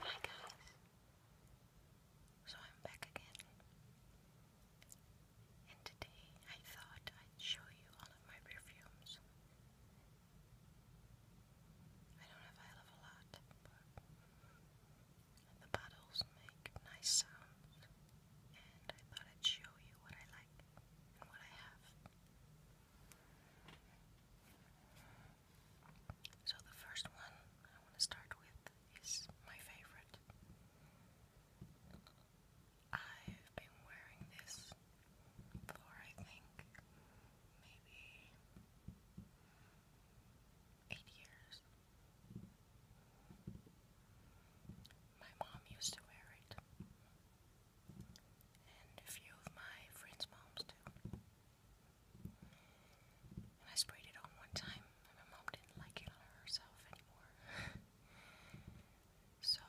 Hi guys, so I'm back again, and today I thought I'd show you all of my perfumes. I don't have I love a lot, but the bottles make nice sounds, and I thought I'd show you what I like and what I have. So, the first one I want to start with is my favorite. I've been wearing this for I think maybe eight years. My mom used to wear it and a few of my friends' moms too. And I sprayed it on one time, and my mom didn't like it on herself anymore. so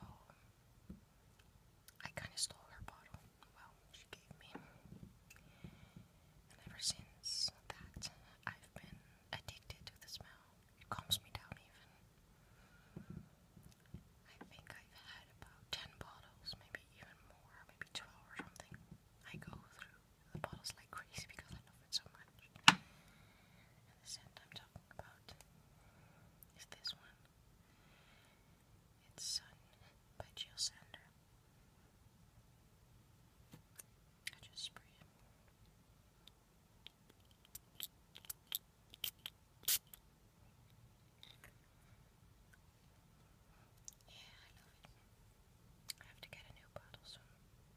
I kind of stole her bottle. Well, she gave me. And ever since that, I've been addicted to the smell. It calms me down even. I think I've had about 10 bottles, maybe even more, maybe 12 or something. I go through the bottles like crazy because I love it so much. And the scent I'm talking about is this one. It's Sun um, by Jill Sander. I just spray it. Yeah, I love it. I have to get a new bottle soon. I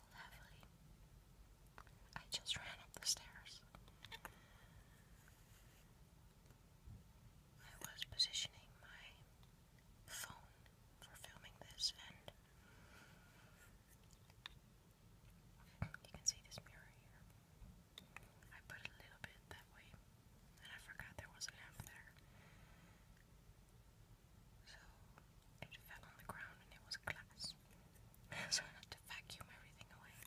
lovely. I just ran up the stairs. I was positioning my phone for filming this, and you can see this mirror here. I put a little bit that way, and I forgot there was a lamp there. So it fell on the ground and it was glass. so I had to vacuum everything away.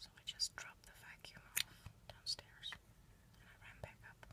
So I just dropped the vacuum off downstairs and I ran back up.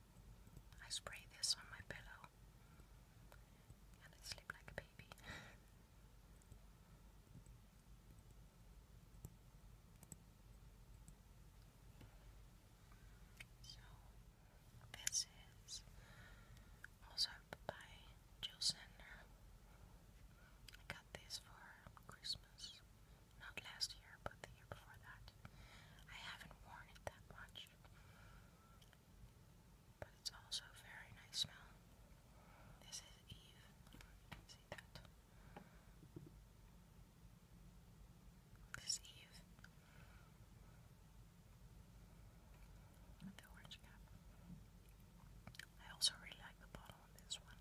I spray this on my pillow and I sleep like a baby. so, this is also by Jill Sender. I got this for Christmas. Not last year, but the year before that. I haven't worn it that much. But it's also very nice smell. This is Eve. See that? This is Eve. I also really like the bottle on this one.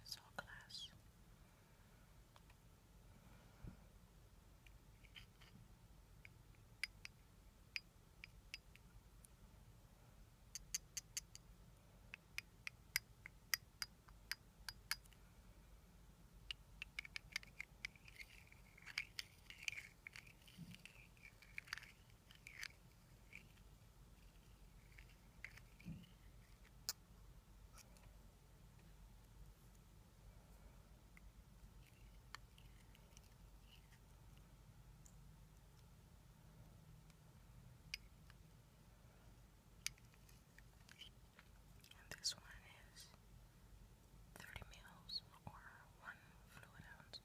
It's all glass. And this one is 30 mils or 1 fluid ounce.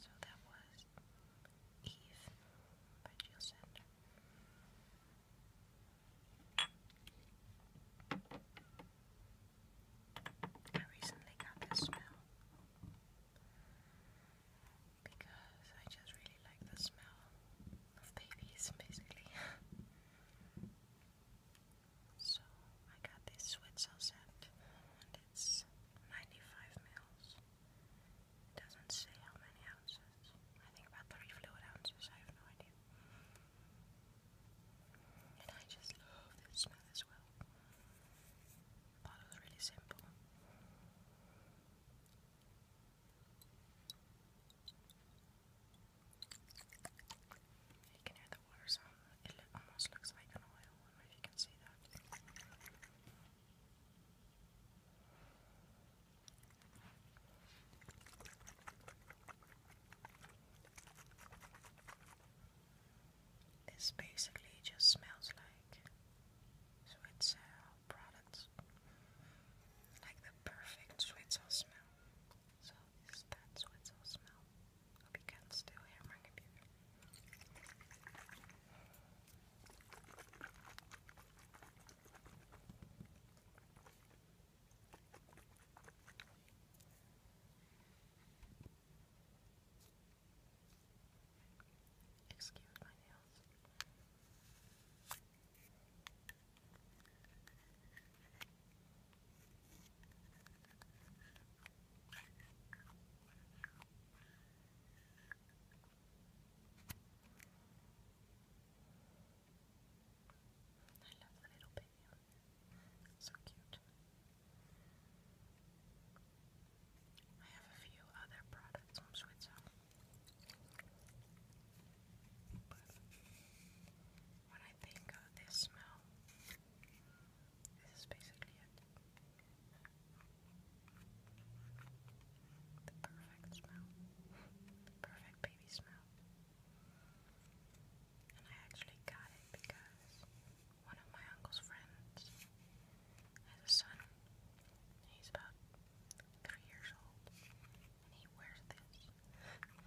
So that was Eve by Jill Sander. I recently got this smell because I just really like the smell of babies, basically. So I got this Switzel set and it's 95 mils. doesn't say how many ounces. I think about three fluid ounces, I have no idea. And I just love this smell as well. Thought it was really simple. You can hear the water sound. It almost looks like an oil. I don't know if you can see that. This basically just smells like sweet uh, products, like the perfect sweet smell. So that's what's all smell. Hope you can still hear my Excuse my nails. I love the little baby. So cute. I have a few other products from Switzerland. But when I think of this smell, this is basically The perfect smell. perfect baby smell. And I actually got it because one of my uncle's friends has a son. He's about three years old and he wears this. And I was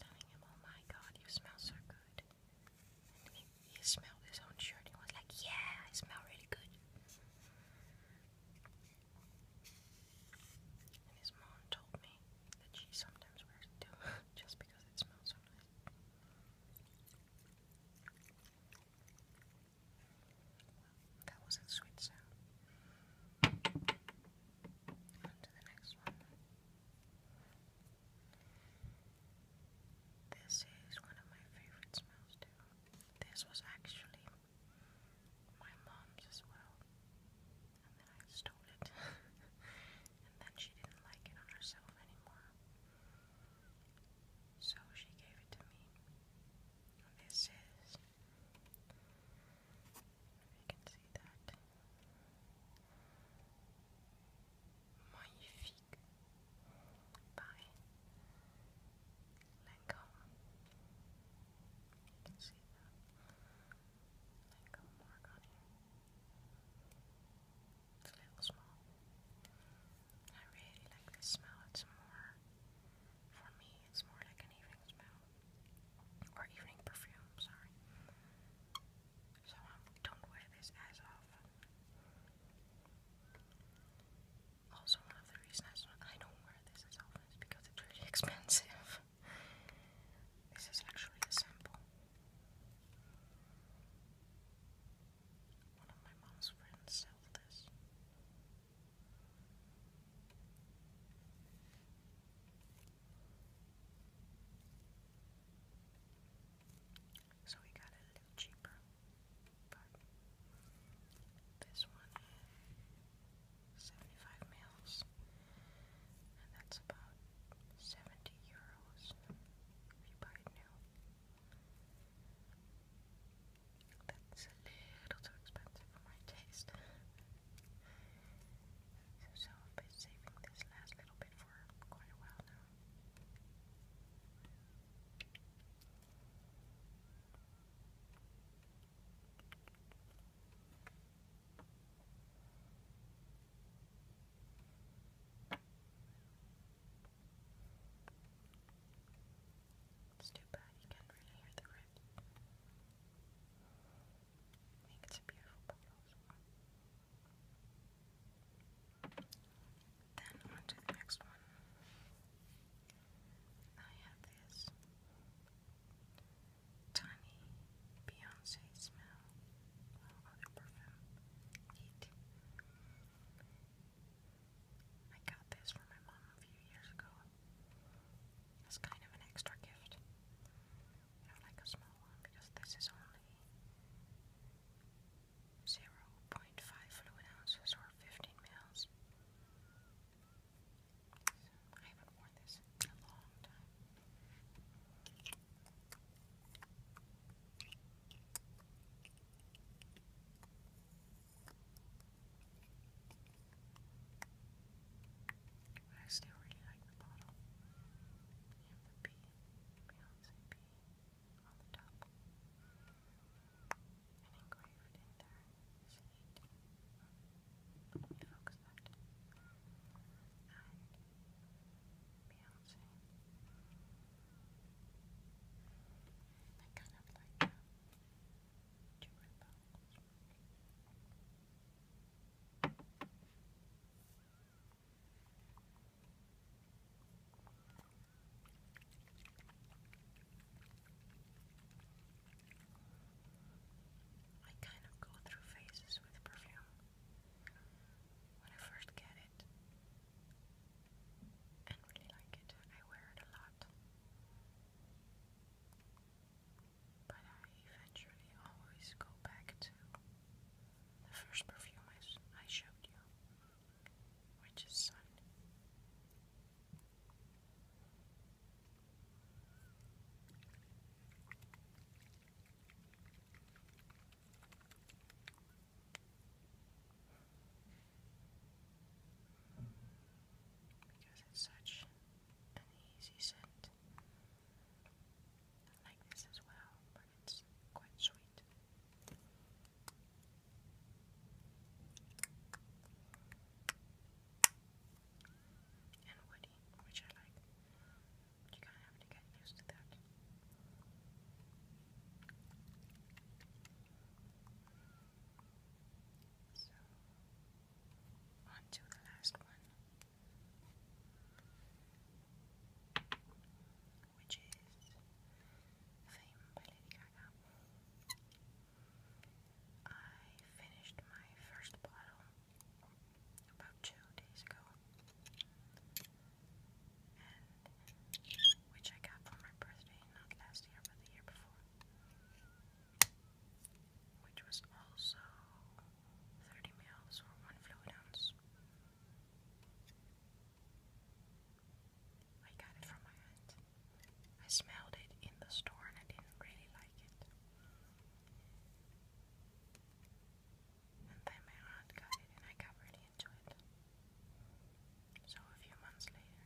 telling him, oh my god, you smell so good. And he, he smelled his own shirt and was like, yeah, I smell really good. And his mom told me that she sometimes wears it too, just because it smells so nice that was a sweet sound. On to the next one. This is one of my favorite smells too. This was actually my mom's as well. And then I stole it. and then she didn't like it on herself anymore. So she gave it to me. This is, if you can see that, Magnifique by Lancome. You can see the Lancome mark on here. It's a little small. I really like this smell. It's more, for me, it's more like an evening smell. Or evening perfume, sorry. So I um, don't wear this as often. Also, one of the reasons I don't wear this as often is because it's really expensive. this is actually a sample. One of my mom's friends sold this. So we got it a little cheaper. But this one is 75 mils, and that's about 70 euros if you buy it new. That's a little too expensive for my taste. so, I've been saving this last little bit for quite a while now. It's too bad you can't really hear the rips. I think it's a beautiful bottle Then on the next one. I have this tiny Beyonce smell. other perfume. I got this for my mom a few years ago. It's kind of an extra gift. I do like a small one because this is only 0.5 fluid ounces or 15 mils. I haven't worn this in a long time. I still really like the bottle. You have the bee, Beyonce bee, on the top. And engraved in there is Let me focus that. Beyonce. I I kind of go through phases with perfume when I first get it and really like it. I wear it a lot. But I eventually always go back to the first perfume I, showed you, which is Sun because it's such an easy scent. I like this as well, but it's quite sweet. And woody, which I like. But you So, on the last one, which is Fame by Lady Gaga. I finished my first bottle about two days ago, which I got for my birthday, not last year, but the year before, which was also 30 mils or one fluid ounce. I got it from my aunt. I smelled it in the store and I didn't really like it. And then my aunt got it, and I got really into it. So a few months later,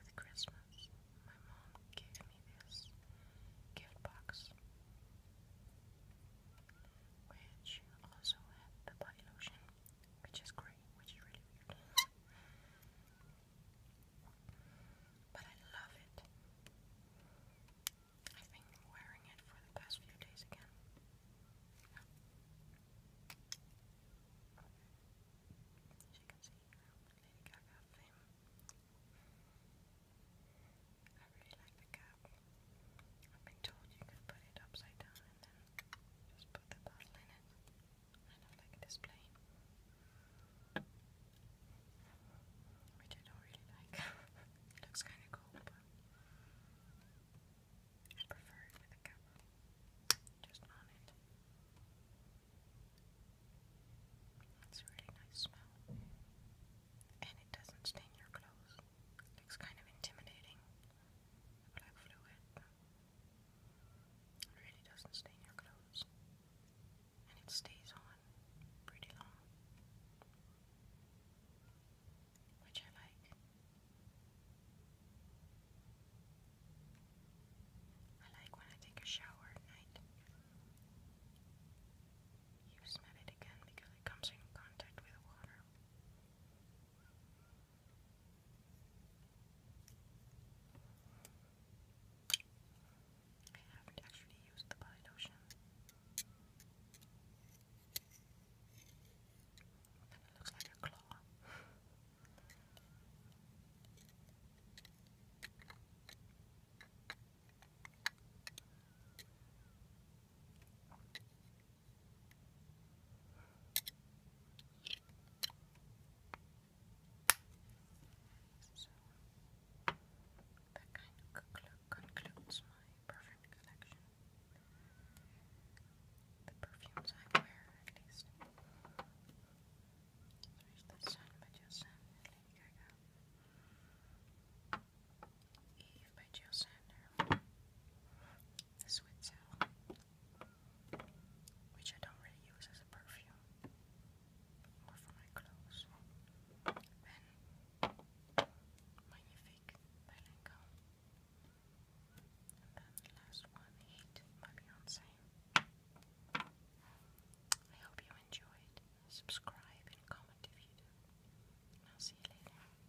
with Christmas, my mom gave me this gift box, which also had the body lotion, which is great, which is really weird. But I love it. I've been wearing it for the past few days again. As you can see, Lady Gaga theme. I really like the cap. I've been told you could put it upside down and then just put the bottle in it. Kind like a display. Which I don't really like. it looks kind of cool, I prefer with a camera. Just on it. It's a really nice smell. And it doesn't stain your clothes. looks kind of intimidating. black fluid. It really doesn't stain your clothes and it stays on pretty long, which I like. I like when I take a shower at night. You smell it again because it comes in contact with water. I haven't actually used the body lotion. it looks like a claw. So that kind of concludes my perfume collection. The perfumes I wear, at least. There's the Sun by Jill Lady Gaga. Eve by Jill Sander. The Sweet Cell which I don't really use as a perfume, more for my clothes. Then Magnifique by Lancome. And then the last one, Heat by Beyonce. I hope you enjoyed. Subscribe and comment if you do. I'll see you later. Bye.